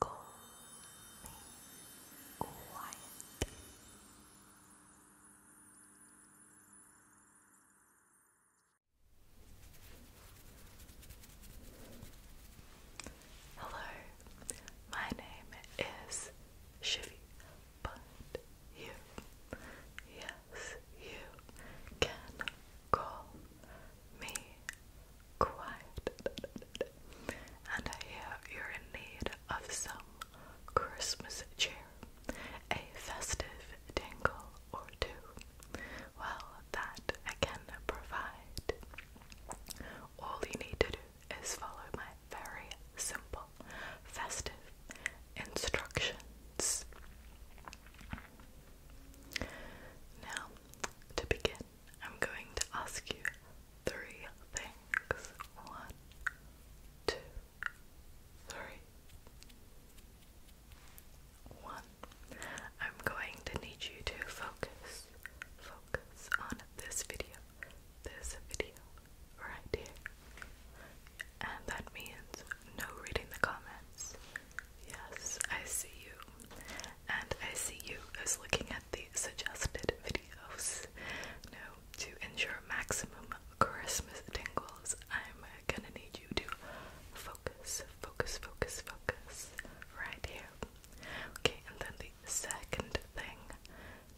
calmly, quietly. Hello, my name is Shivy, but you, yes, you can call me quiet, and I hear you're in need of some Christmas cheer, a festive tingle or two. Well, that I can provide. All you need to do is follow my very simple, festive instructions. Now, to begin, I'm going to ask you three things. One, two, three. One, I'm going to need you to focus, focus on this video, this video right here. And that means no reading the comments. Yes, I see you and I see you as looking at the suggested videos. Now, to ensure maximum Christmas tingles, I'm gonna need you to focus, focus, focus, focus right here. Okay, and then the second thing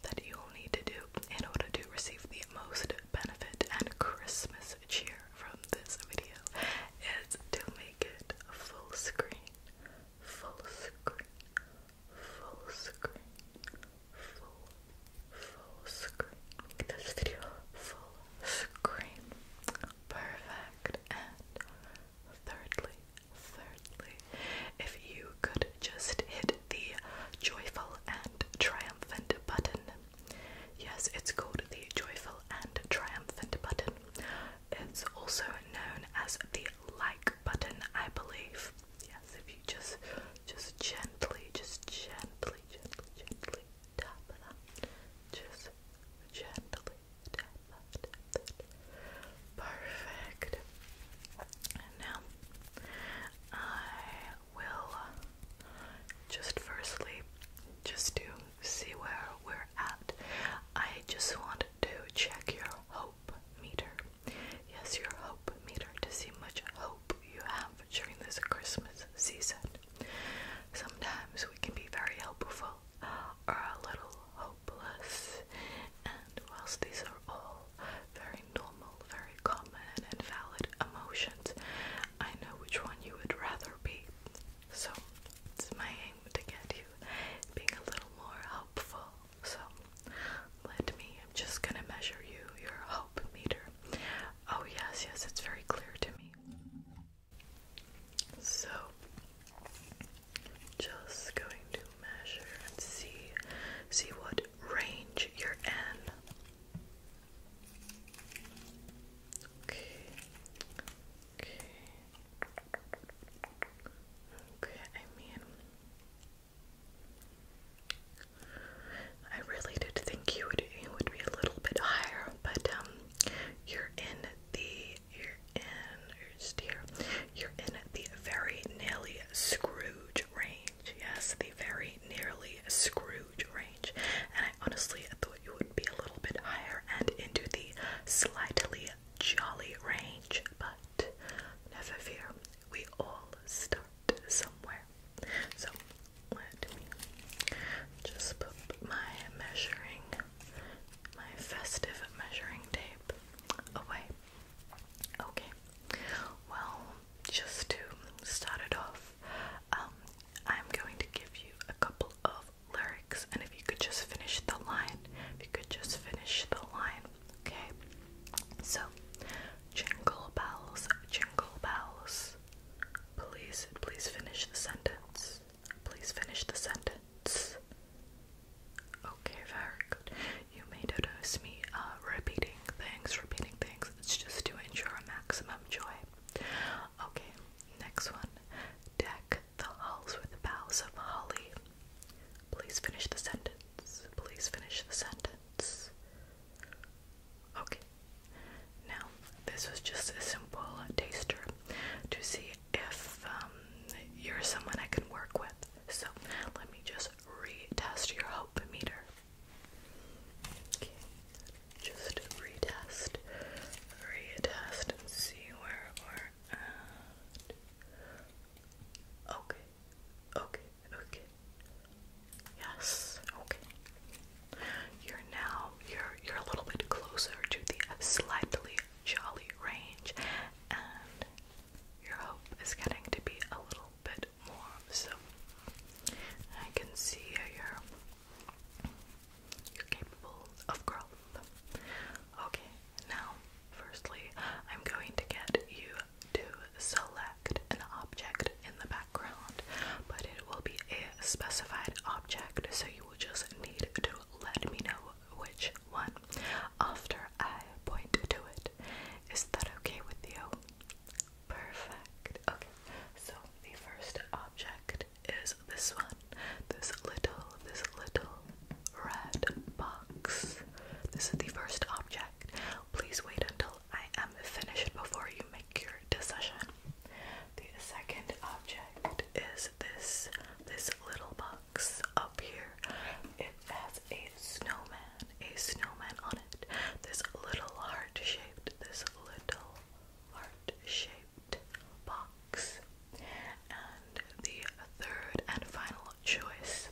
that you'll need to do in order to receive the most benefit and Christmas cheer from this video is to make it full screen full screen, full screen, full, full screen. Make full screen. Perfect. And thirdly, thirdly, if you could just hit the joyful and triumphant button. Yes, it's called the joyful and triumphant button. It's also known as the like button, I believe. Yes, if you just just gently, just gently, gently, gently tap that. Just gently tap that. Perfect. now I will just firstly just to see where we're at. I just want to check your hope meter. Yes, your hope meter to see much hope you have during this Christmas season. Sometimes we can be very hopeful or uh, a little hopeless, and whilst these are all very normal, very common, and valid emotions, I know which one you would rather be. So it's my aim to get you being a little more helpful. So let me, I'm just gonna measure you, your hope meter. Oh, yes, yes, it's very clear to me. So, just going to measure and see, see what range you're in. Okay, Okay. Okay, I mean, I really did think you would you would be a little bit higher, but um, you're in the you're in just here, you're in the very nearly Scrooge range. Yes, the very nearly Scrooge range, and I honestly thought you would be a little bit higher and into the slightly jolly range, but never fear, we all start somewhere. So let me just put my measuring, my festive measuring tape away. Okay, well, just to start it off, um, I'm going to give you a couple of lyrics, and if you could just finish the line, if you could just finish the line, okay? So, jingle bells, jingle bells. Please, please finish the sentence. Please finish the sentence. Okay, very good. You may notice me uh, repeating things, repeating things. It's just to ensure maximum joy. Okay, next one. Deck the hulls were the boughs of holly. Please finish the sentence. Please finish the sentence. Okay. Now, this was just a simple taster to see if um, you're someone I can work with. So, let me just retest your hope meter. Okay. Just retest, retest, and see where we're Okay, okay, okay. Yes, okay. You're now you're you're a little bit closer to the slightly jolly range, and your hope is getting to be a little bit more. So I can see you're you're capable of growth. Okay, now Firstly, I'm going to get you to select an object in the background, but it will be a specified object, so you will just need to let me know which one after I point to it. Is that okay with you? Perfect. Okay, so the first object is this one. This little, this little, red box. This is the first object. Please wait until I am finished before you make your decision. The second object is this this little box up here. It has a snowman, a snowman on it. This little heart-shaped, this little heart-shaped box. And the third and final choice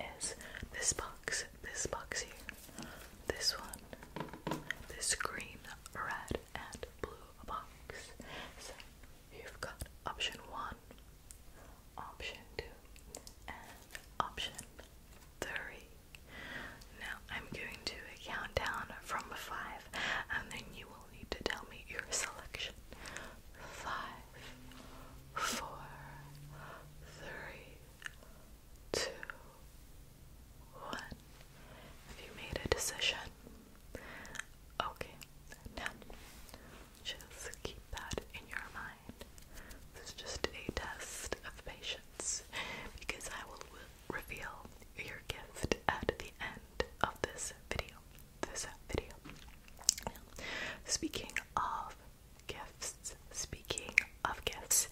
is this box, this box here, this one, this green, red, and blue box. So you've got option one, option two, and option three. Now I'm going to count down from five, and then you will need to tell me your selection. Five, four, three, two, one. Have you made a decision? Okay, now just keep that in your mind. This is just a test of patience because I will reveal your gift at the end of this video this video. Speaking of gifts, speaking of gifts,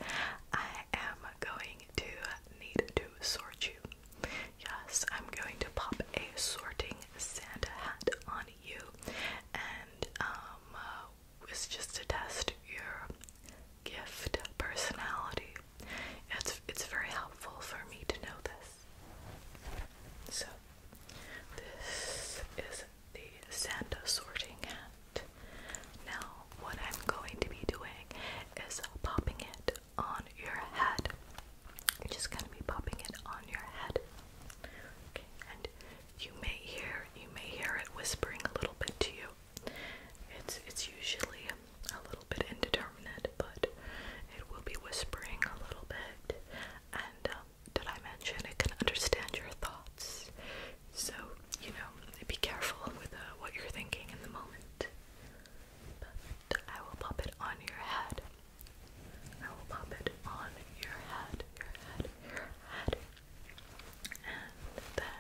I am going to need to sort you. Yes, I'm going to pop a sorting Santa hat on you, and um, uh, it's just to test your gift personality. It's it's very helpful for me to know this. So this is the Santa sorting hat. Now, what I'm going to be doing is popping it on your head. I'm just going to be popping it on your head. Okay, and you may hear you may hear it whispering a little bit to you. It's it's usually a little bit indeterminate, but it will be whispering a little bit and um, did I mention it can understand your thoughts? So, you know, be careful with uh, what you're thinking in the moment. But I will pop it on your head. I will pop it on your head, your head, your head. And then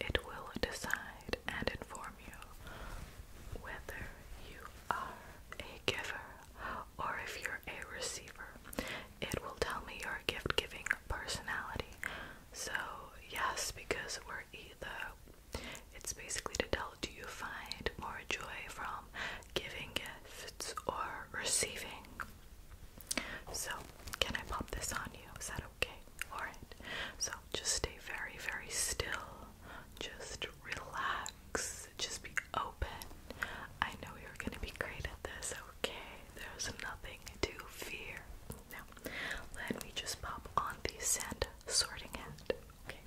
it will decide and inform you whether you are a giver or if you're a receiver. It will tell me your gift giving personality. So, yes, because we're either, it's basically to tell do you find more joy from giving gifts or receiving? So, can I pop this on you? Is that okay? Alright. So, just stay very, very still. Just relax just be open. I know you're gonna be great at this, okay? There's nothing to fear. Now, let me just pop on the scent sorting hat, okay?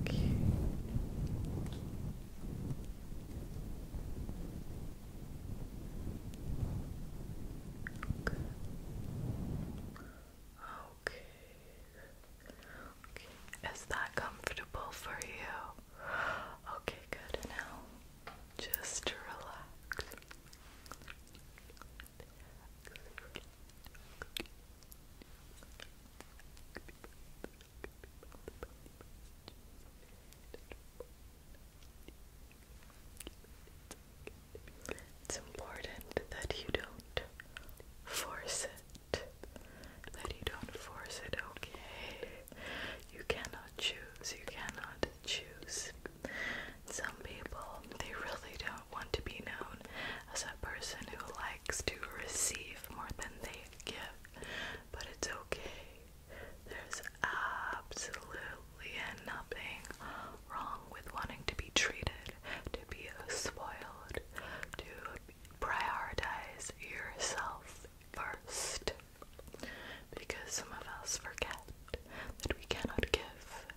Okay. Okay. Is that comfortable for you? Okay, good. Now just relax. It's important that you don't force it. That you don't force it, okay? You cannot choose. You cannot choose. Some people, they really don't want to be known as a person who likes to receive more than they give. But it's okay. There's absolutely nothing wrong with wanting to be treated, to be spoiled, to prioritize yourself first. Because some of us forget that we cannot give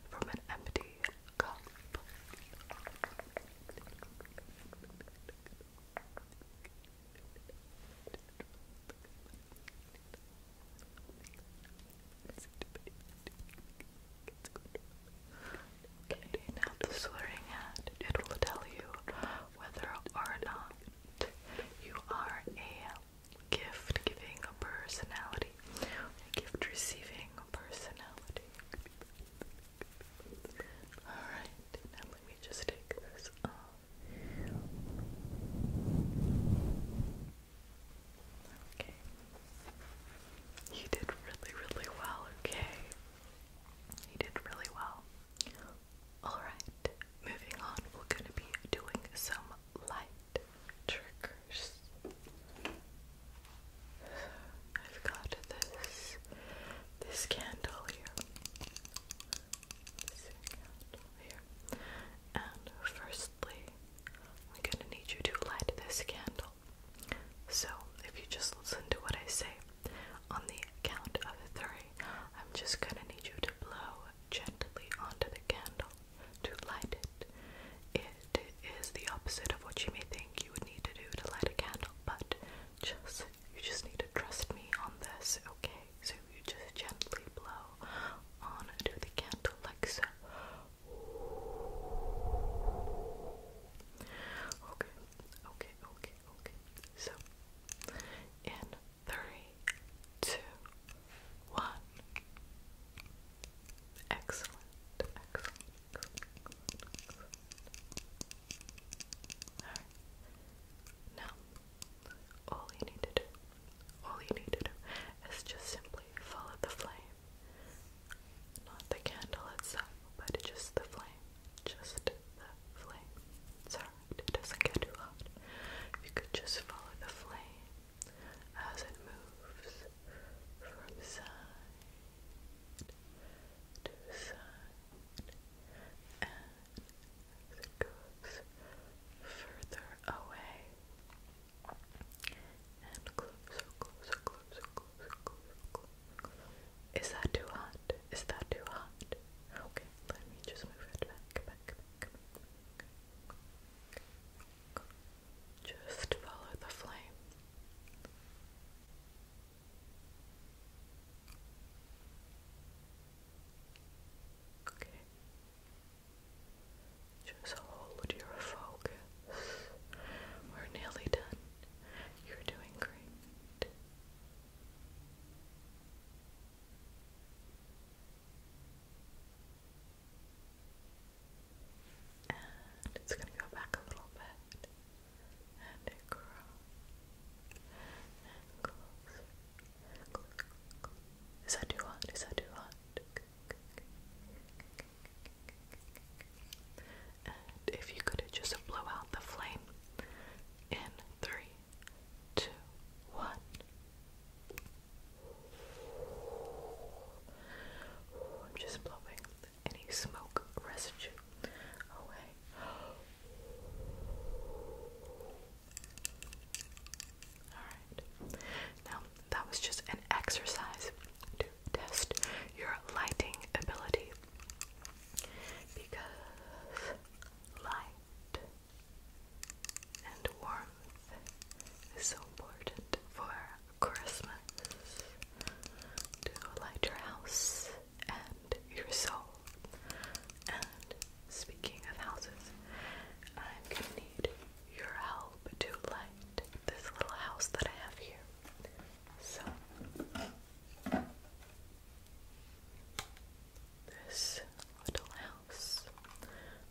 from an empty cup. Okay, now the slurring hand, it will tell you whether or not you are a gift giving personality, gift receiving personality. Alright, now let me just take this off. Okay. You did really, really well, okay? You did really well. Alright, moving on, we're going to be doing some light triggers. I've got this, candle here. This candle here. And firstly, I'm going to need you to light this candle. So, if you just listen to what I say, on the count of three, I'm just gonna need you to blow gently onto the candle to light it. It is the opposite of what you may think you would need to do to light a candle, but just you just need to trust me on this, okay? So you just gently blow onto the candle like so. Okay, okay, okay, okay. So, in three, two, one. Excellent, excellent, Alright. Now, all you need to do, all you need to do is just simply follow the flame not the candle itself, but just the flame. Just the flame. It's it doesn't get too hot. You could just follow the flame as it moves from side to side and goes further away. Is that too hot? Is that too hot? Okay, let me just move it back, back, back, back. back. Just follow the flame. Okay. Just hold your focus. We're nearly done. You're doing great. And it's going to go back a little bit. And it grows. And closer. Is that too hot? Is that too hot? if you could just blow out the flame in three, two, one. I'm just blowing any smoke residue away. Alright. Now, that was just an exercise test your lighting ability because light and warmth is so important for Christmas to light your house and your soul. And speaking of houses, I'm gonna need your help to light this little house that I have here. So this little house.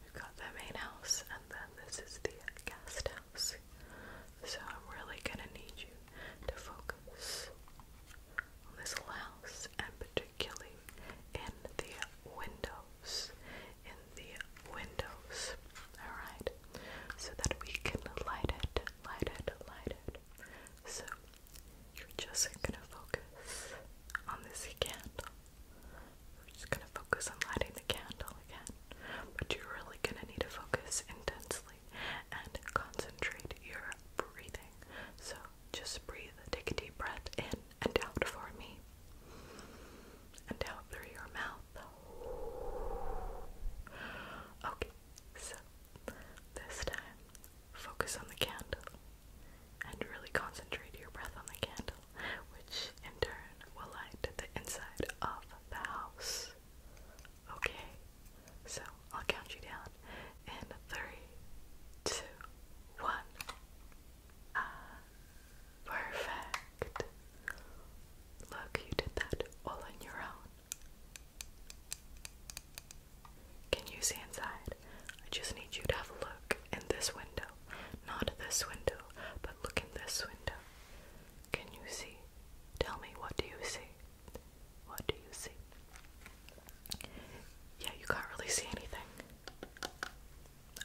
We've got the main house and then this is the guest house. So I'm really gonna need you to focus on this little house and particularly in the windows. In the windows. Alright so that we can light it, light it, light it. So you're just gonna focus on this candle. We're just gonna focus on lighting the candle again. But you're really gonna need to focus intensely and concentrate your breathing. So just breathe, take a deep breath in and out for me. And out through your mouth. Okay, so this time focus on the candle and really concentrate your breath on the candle, which in turn will light the inside of the house. Okay, so I'll count you down in three, two, one. Ah, perfect. Look, you did that all on your own. Can you see inside? I just need you to have a look in this window. Not this window, but look in this window. Can you see? Tell me, what do you see? What do you see? Yeah, you can't really see anything.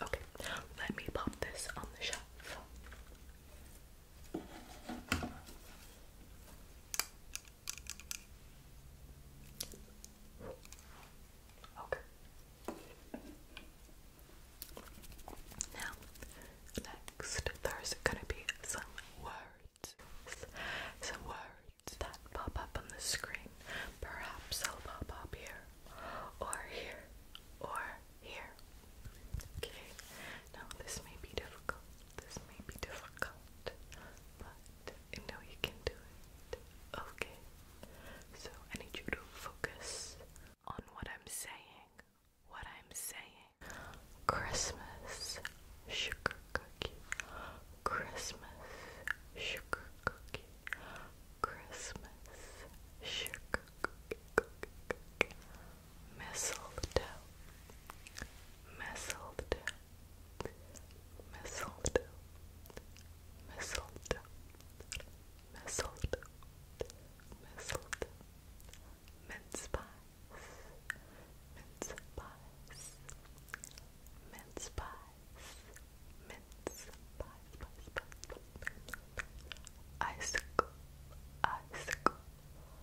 Okay, let me pop this on the shelf. Okay. Now, next, there's gonna be some words. Some words that pop up on the screen. Perhaps they'll pop up here, or here, or here. Okay. Now this may be difficult. This may be difficult, but I know you can do it. Okay. So I need you to focus on what I'm saying. What I'm saying. Christmas sugar cookie. Christmas sugar cookie. Christmas sugar cookie mistletoe, mistletoe, mistletoe, mistletoe, mistletoe, mistletoe, mince pies, mince pies, mince pies, mince pies, pies, pies, pies, pies,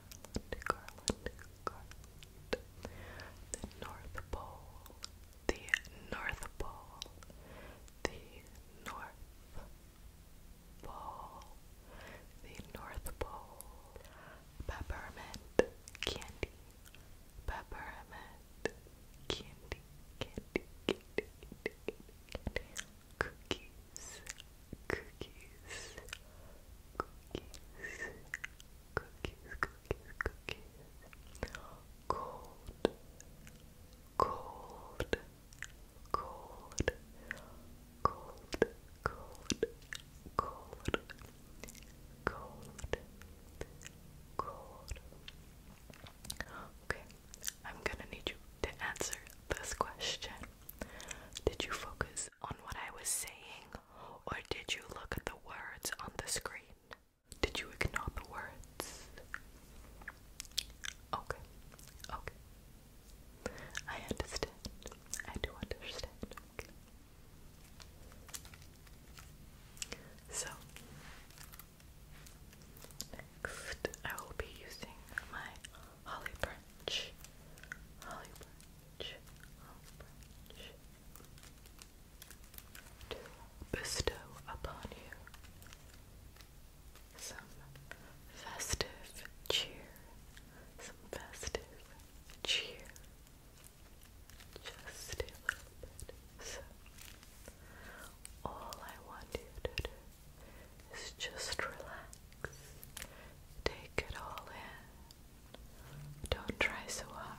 the North Pole, the North Pole, the North Pole, the North Pole. Peppermint candy, peppermint candy, candy, candy. candy cookies, cookies, cookies, cookies, cookies, cookies, cold, cold, cold, cold, cold, cold, cold, cold. Okay, I'm gonna need you to answer this question. Did you focus on what I was saying, or did you look at the words on the screen? Did you ignore the words? Okay, okay. I understand. I do understand. So, next I will be using my Holly Branch, Holly Branch, Holly Branch. bestow upon you some festive cheer, some festive cheer. Just a little bit. So, all I want you to do is just relax. Take it all in. Don't try so hard,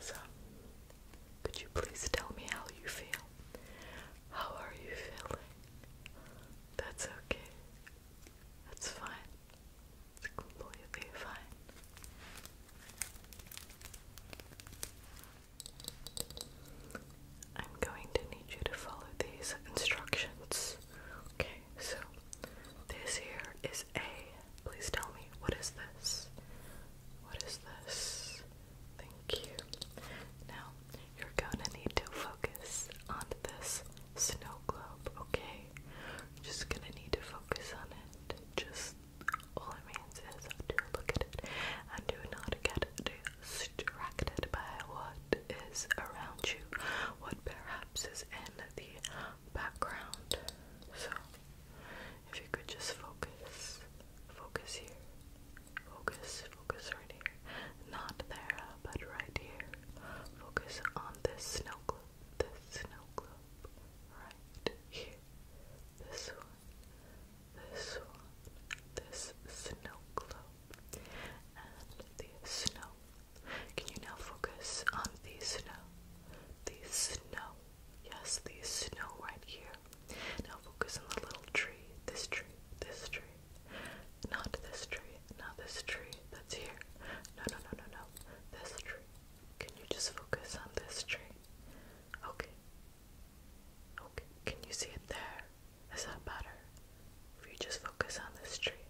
So, could you please tell me how you feel? How are you feeling? That's okay. That's fine. It's completely fine. I'm going to need you to follow these instructions. Okay, so this here is A. Please tell me, what is this? What is this? Thank you. Now, you're gonna need to focus on this snow globe, okay? just gonna need to focus on it. Just all it means is do look at it and do not get not distracted by what is around you, what perhaps is in the background. So, if you could just focus, focus here, focus, focus right here, not there, but right here. Focus on this snow globe, this snow globe, right here this one, this one, this snow globe, and the snow. Can you now focus on the snow? The snow. Yes, the snow right here. Now focus on the little tree. This tree, this tree. Not this tree, not this tree that's here. No, no, no, no, no. This tree. Can you just focus on this tree? Okay, Okay, can you see it there? Is that better? If you just focus on this tree.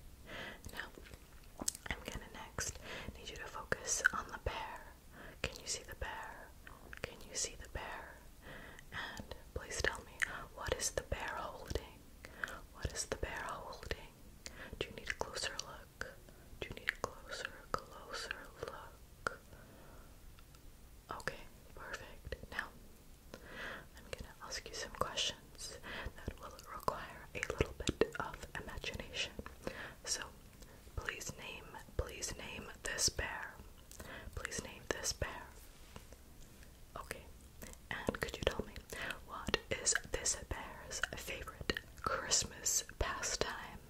Now, I'm gonna next need you to focus on the bear. Can you see the bear? Can you see the bear? And please tell me, what is the bear holding? What is the bear holding? Do you need a closer look? Do you need a closer, closer look? Okay, perfect. Now, I'm gonna ask you some questions that will require a little bit of imagination. So, please name, please name this bear. Please name this bear. Okay, and could you tell me what is this bear's favorite Christmas pastime?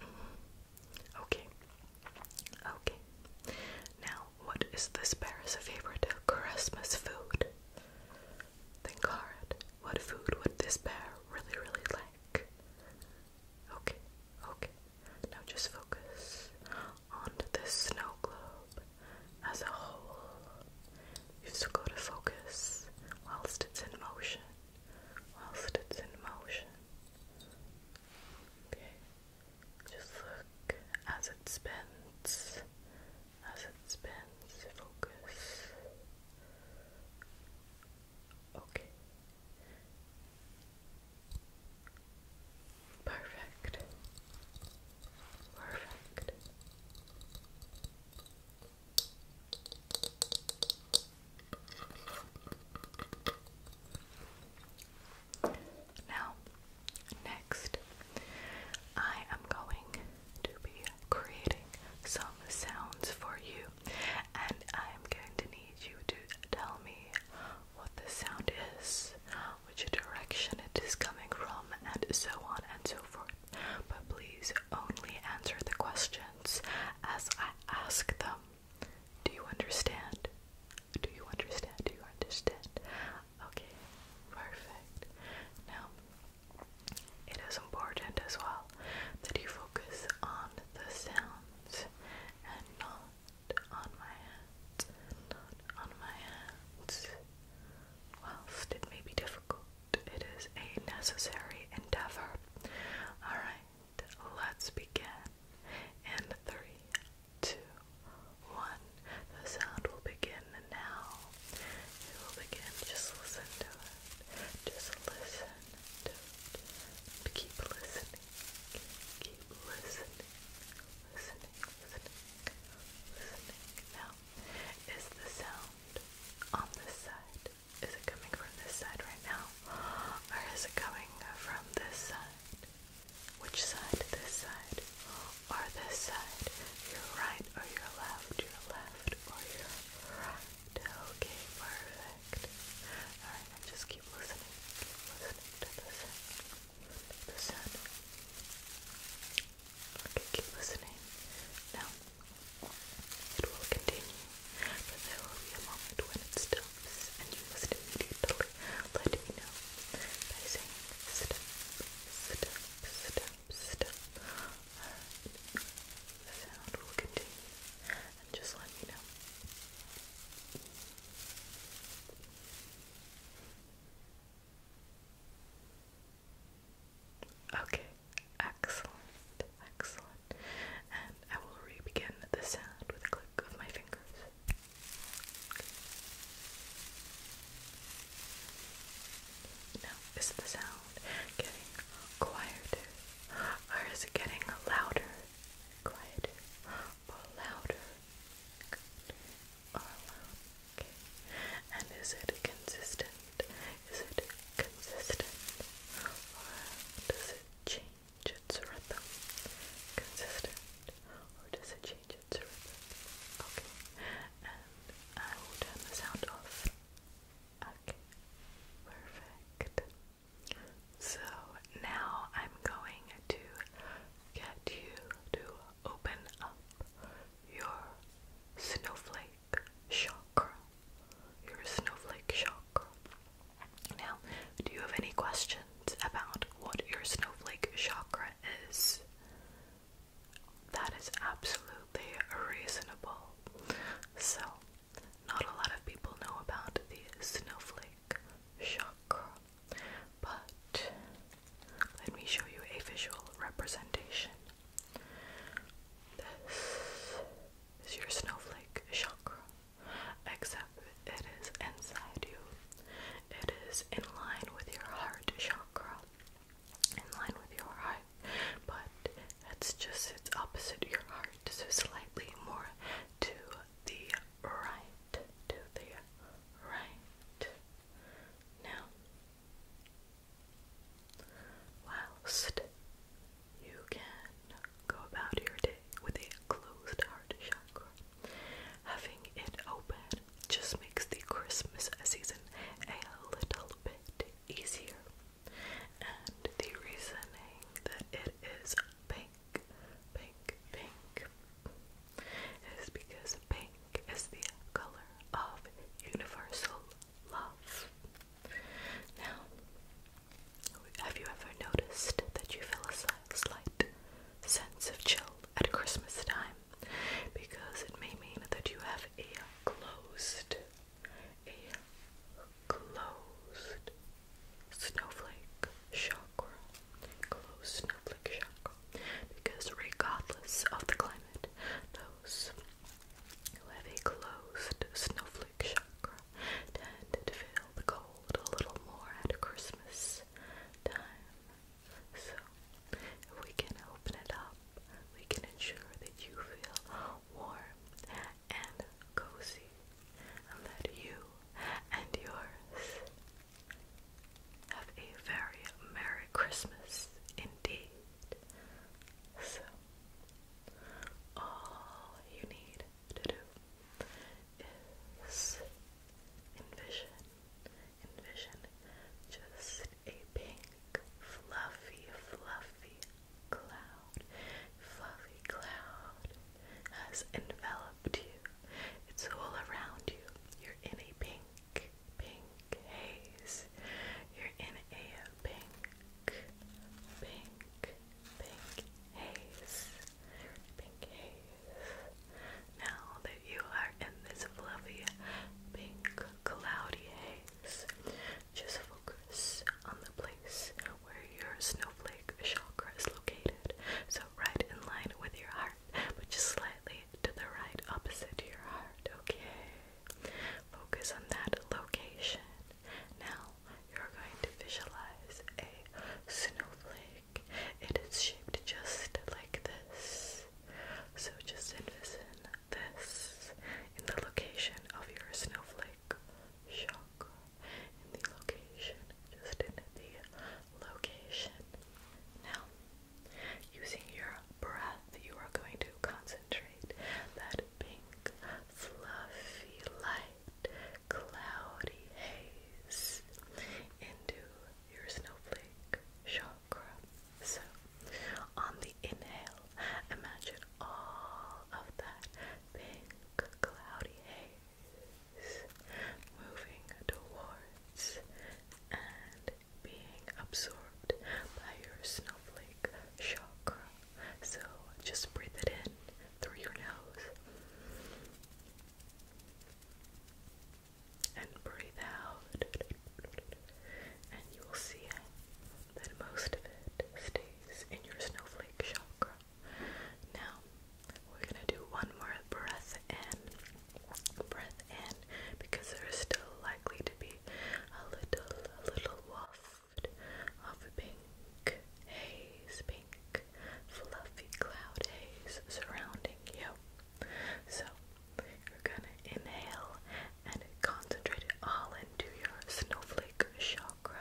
Mm-hmm. Okay. Okay. Now, what is this bear's favorite Christmas food? Think hard. What food would this bear really, really like? Okay, okay. Now just focus on this snow globe as a whole. You've got to focus whilst it's in motion. Whilst it's in motion. Okay. Just look as it spins. As it spins, focus. Okay. Perfect. Perfect. Now, next, I am going to be creating some sounds for you, and I'm going to need you to tell me what the sound is, which direction it is coming from, and so on and so forth. But please only answer the questions as I ask them. Do you understand? Do you understand? Do you understand? Okay, perfect. Now, it is important as well that you focus on the sounds and not on my hands. Not on my hands. Whilst it may be difficult, it is a necessary endeavor. Alright, let's begin. In three, two, one. The sound will begin now. It will begin. Just listen to it. Just listen to it. Keep listening. Keep listening. Listening. Listening. Listening. Now, is the sound on this side? Is it coming from this side right now? Or is it coming from this side? Which side? This side or this side? Your right or your left? Your left or your right? Okay, perfect. Alright, just keep listening. listening to the sound. sound. Okay, keep listening. Now, it will continue, but there will be a moment when it's still and you must immediately let me know by saying stop, stop, stop, stop. the sound will continue, and just let me know. Okay, excellent, excellent. And I will re the sound with a click of my fingers. Now, is the sound getting quieter or is it getting louder? Quieter or louder? And is it consistent? Is it consistent? Or does it change? consistent or does it change its rhythm? Okay, and I will turn the sound off. Okay, perfect. So now I'm going to get you to open up your snowflake shock. Your snowflake chakra. Now, do you have any questions about what your snowflake chakra is? That is absolutely reasonable. So, not a lot of people know about the snowflake chakra, but let me show you a visual representation. This is your snowflake chakra except it is inside you. It is in line with your heart chakra, in line with your heart, but it's just it's opposite your heart, so slightly more to the right, to the right. Now, whilst you can go about your day with a closed heart chakra, Having it open just makes the Christmas season a little bit easier. And the reasoning that it is pink, pink, pink is because pink is the color of universal love. Now, have you ever noticed that you feel a slight sense of chill at Christmas time because it may mean that you have a closed, a closed snowflake chakra, closed snowflake chakra, because regardless of the climate, those who have a closed snowflake chakra tend to feel the cold a little more at Christmas time. So, if we can open it up, we can ensure that you feel warm and cozy, and that you and yours have a very Merry Christmas indeed. So, all you need is envision, envision just a pink, fluffy, fluffy cloud. Fluffy cloud has enveloped you. It's all around you. You're in a pink, pink haze. You're in a pink, pink, pink haze. Pink haze. Now that you are in this fluffy pink cloudy haze, just focus on the place where your snowflake chakra is located. So, right in line with your heart, but just slightly to the right, opposite your heart, okay? Focus on that location. Now, you're going to visualize a snowflake like it is shaped just like this. So just envision this in the location of your snowflake chakra. In the location, just in the location. Now, using your breath, you are going to concentrate that pink, fluffy light, cloudy haze into your snowflake chakra. So, on the inhale, imagine all of that pink, cloudy haze moving towards and being absorbed by your snowflake chakra. So, just breathe it in through your nose and breathe out, and you will see that most of it stays in your snowflake chakra. Now, we're gonna do one more breath in, breath in, because there's still likely to be a little, a little waft of pink haze, fluffy cloud haze surrounding you. So, you're gonna inhale and concentrate it all into your snowflake chakra.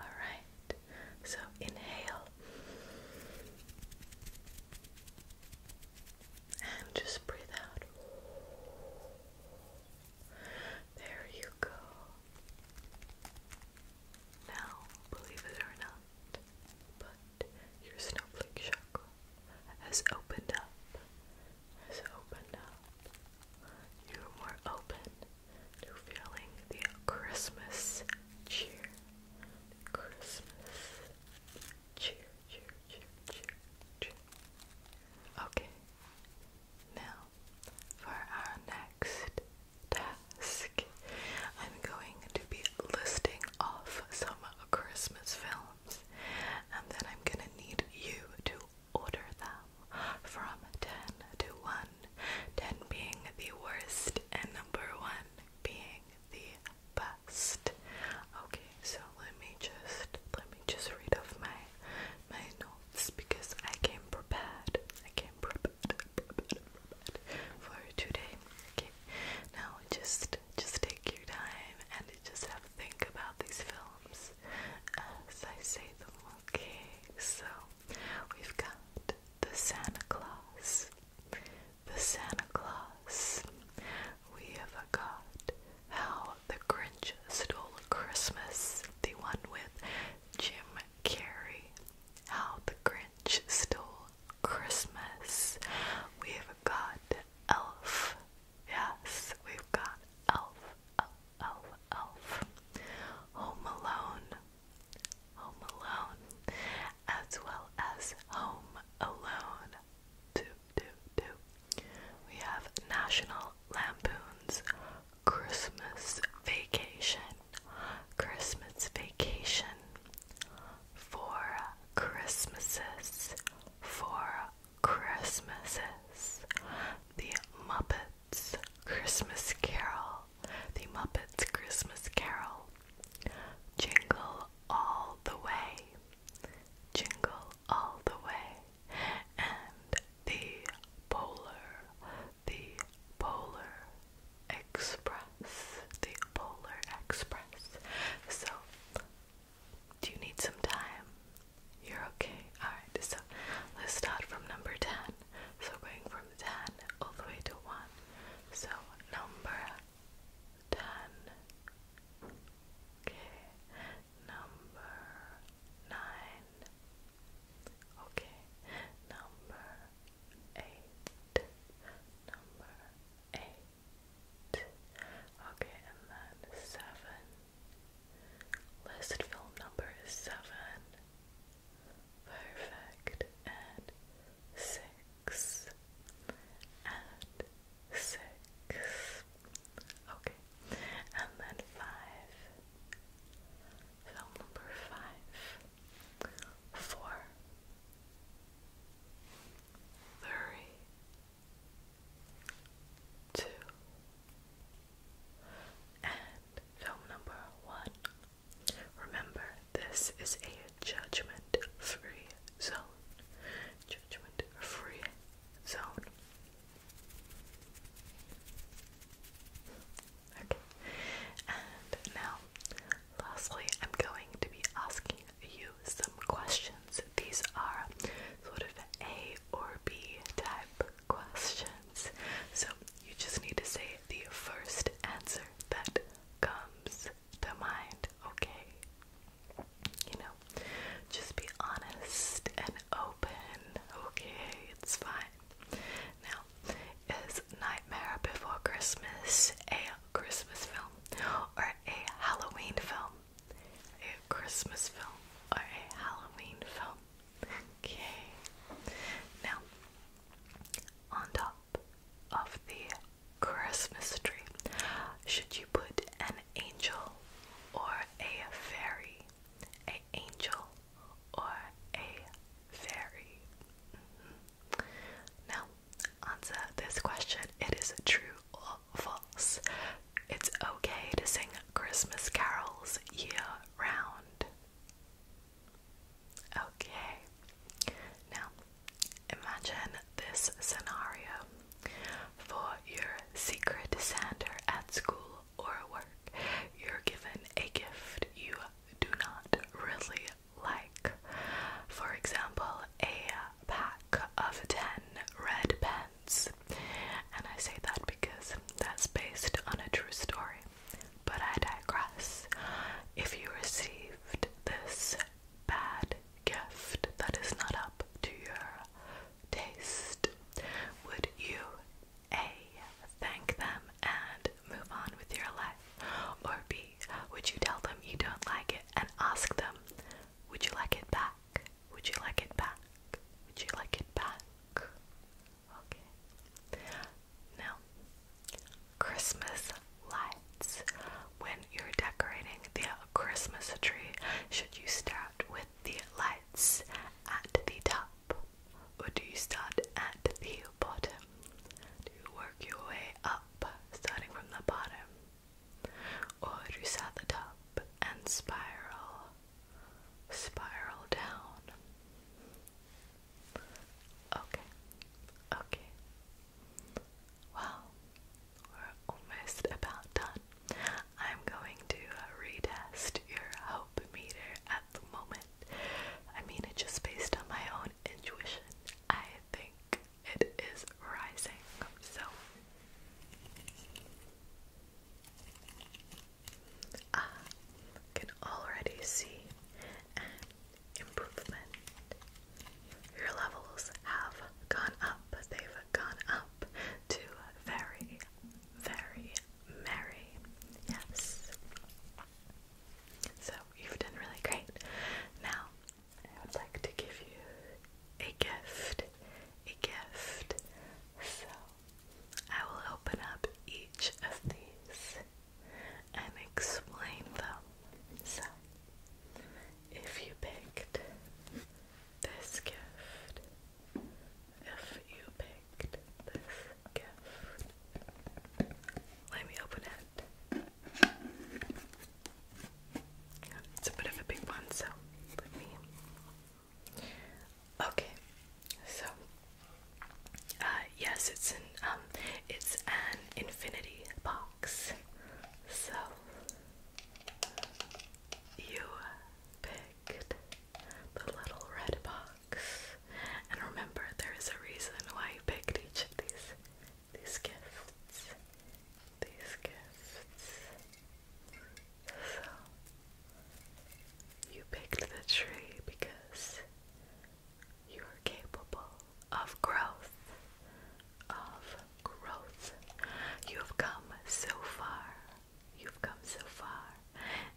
Alright, so inhale and just breathe out. There you go. Now, believe it or not, but your snowflake chakra has opened up, has opened up. You're more open to feeling the Christmas cheer, Christmas cheer, cheer, cheer, cheer, Okay, now for our next tap. I'm going to be listing off some Christmas films, and then I'm gonna need you to order them from 10 to 1. 10 being the worst, and number 1 being the best. Okay, so let me just let me just read off my my notes because I came prepared. I came prepared, for today you. Now just just take your time and just have a think about these films as I say them. Okay, so we've got the Santa Claus, the Santa Claus. We have got How the Grinch Stole Christmas, the one with Jim Carrey. How the Grinch French Christmas. We've got Elf. Yes, we've got Elf, Elf, Elf, Elf. Home Alone. Home Alone. As well as Home Alone. Two, two, two. We have National Lampoon's Christmas Vacation. Christmas Vacation. Four Christmases, Four Christmases, The Muppets Christmas Carol, The Muppets Christmas Carol, Jingle All the Way, Jingle All the Way, and The Polar, The Polar, Express, the Polar Express. So, do you need some time? You're okay. Alright, so let's start from number 10. So, going from 10 all the way to 1. So, number 10. Okay, number 9. Okay, number 8. Number eight. Okay, and then seven. List film number is seven. Perfect. And six. And six. Okay. And then five. Film number five. Four three, two, and film number one. Remember, this is a judgment free zone. Judgment free zone. Okay, and now Lastly, I'm going to be asking you some questions. These are sort of A or B type questions. So you just need to say the first answer that comes to mind, okay? You know, just be honest and open, okay? It's fine. Now, is Nightmare Before Christmas a Christmas film or a Halloween film. A Christmas film or a Halloween film. Okay. Now, on top of the Christmas tree, should you put an angel or a fairy? An angel or a fairy? Mm-hmm. Now, answer this question. It is true or false. It's okay to sing Christmas carols year round. Okay. Now, imagine this scenario. For your secret Santa at school or work, you're given a gift you do not really like, for example, a pack of 10 red pens. And I say that because that's based on a true story. But I digress. If you received this bad gift that is not up to your taste, would you A, thank them and move on with your life, or B, would you tell them you don't like it and ask them, would you like it back? Would you like it back? Would you like it back? Okay. Now, Christmas lights. When you're decorating the Christmas tree, should you start with the lights at the top or do you start at the bottom? Do you work your way up, starting from the bottom? or you set the top and spiral, spiral down. Okay, okay. Well, we're almost about done. I'm going to uh, retest your hope meter at the moment. I mean, it's just based on my own intuition. I think it is rising. So I can already see improvement. Your levels have gone up, they've gone up to very, very merry. Yes. So you've done really great. Now I would like to give you a gift, a gift. So I will open up each of these and explain them. So if you picked this gift, if you picked this gift, let me open it. It's a bit of a big one, so Okay, so uh, yes, it's an um, it's an infinity box. So you picked the little red box, and remember, there is a reason why you picked each of these these gifts, these gifts. So, you picked the tree because you are capable of growth, of growth. You have come so far. You've come so far.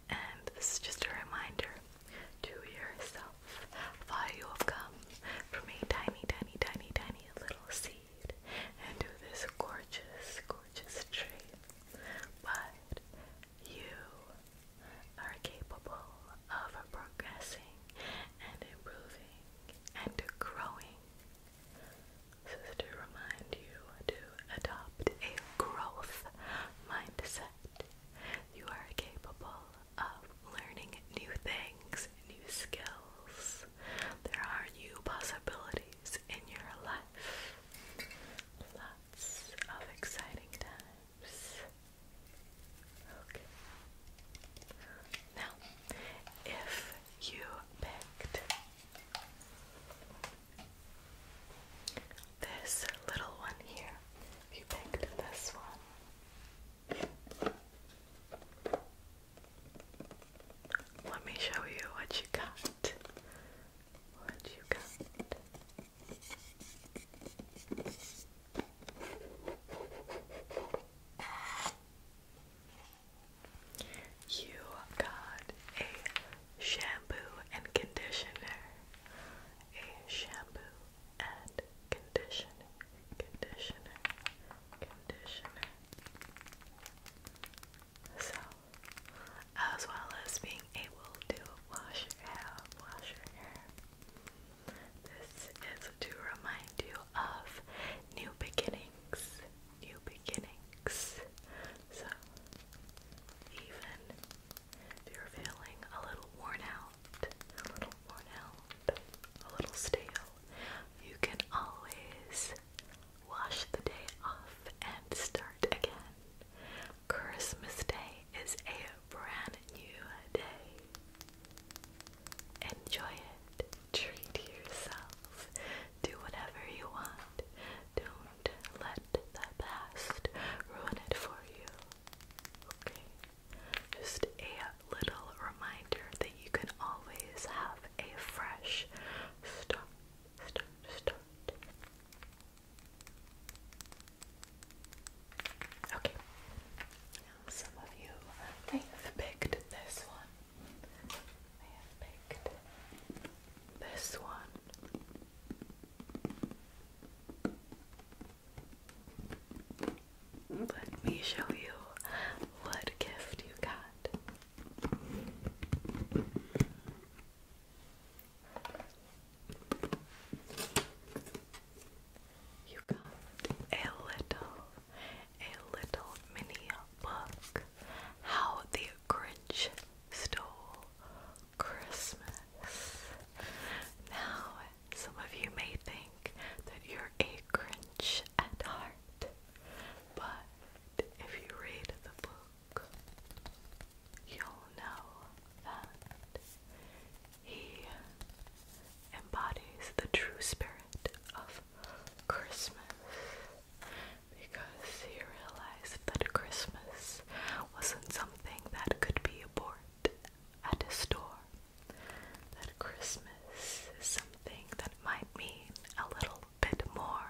And this is just a reminder to yourself of you have come from a tiny, tiny, tiny, tiny little seed proceed and do this gorgeous, gorgeous tree, but you are capable of progressing and improving and growing. This is to remind you to adopt a growth mindset. You are capable of learning new things, new skills. There are new possibilities in your life. Lots of exciting times. Okay. Now, if you picked this little one here, if you picked this one, let me show you what you got. What you got. You got a shampoo and conditioner. A shampoo and conditioner. Conditioner. Conditioner. So, as well as being able to wash your hair, wash your hair. This is to remind you of new beginnings, new beginnings. So, even if you're feeling a little worn out, a little a little stale, you can always wash the day off and start again. Christmas Day is a brand new day. Enjoy it. Treat yourself. Do whatever you want. Don't let the past ruin it for you. Okay? Just a little reminder that you can always have a fresh start, Okay, some of you may have picked this one. May have picked this one. Let me show you what gift you got. You got a little, a little mini book. How the Grinch Stole Christmas. Now, some of you may think that you're a Grinch at heart. But if you read the book, you'll know that he embodies the true spirit of Christmas because he realized that Christmas wasn't something that could be bought at a store, that Christmas is something that that might mean a little bit more.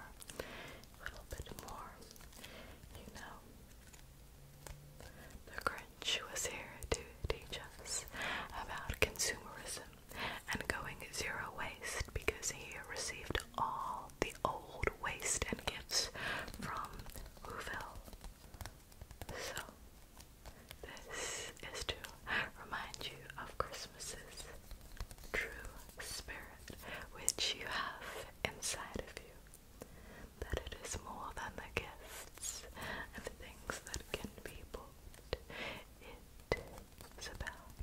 little bit more. You know, the Grinch was here to teach us about consumerism and going zero waste because he received all the old waste and gifts from Whoville. So, this is to remind you of Christmas's true spirit, which you have inside of you. That it is more than the gifts and the things that can be bought. It is about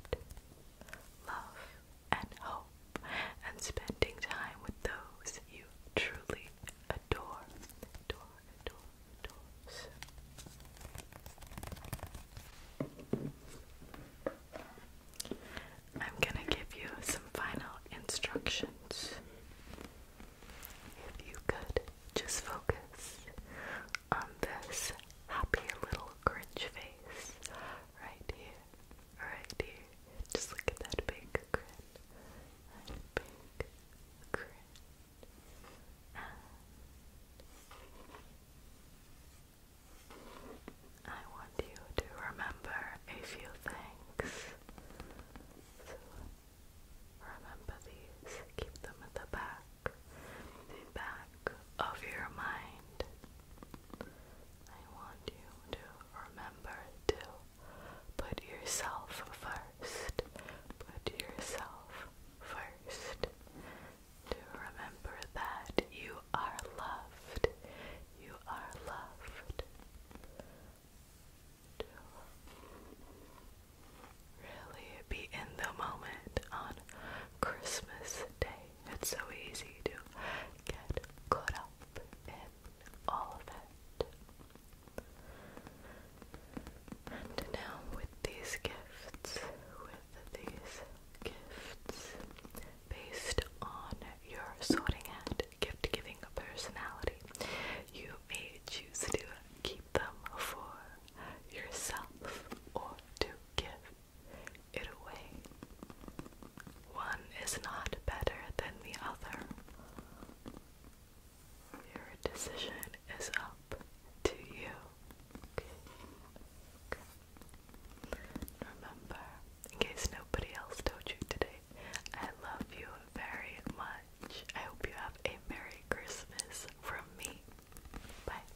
love and hope and spending time with those you truly adore. Adore, adore, I'm going to give you some final instructions. If you could just focus on this happy little cringe face right here, right here. Just look at that big big grin. And I want you to remember a few things. remember these, keep them at the back, the back of your mind. I want you to remember to put yourself first. Put yourself first to remember that you are loved. You are loved. To really be in the moment on Christmas Day. It's so easy to get caught up in all of it. And now, with these gifts, with these gifts, based on your sorting and gift giving personality, you may choose to keep them for yourself or to give it away. One is not better than the other. Your decision is up to you. Remember, in case nobody else told you today, I love you very much. I hope you have a Merry Christmas from me. Bye.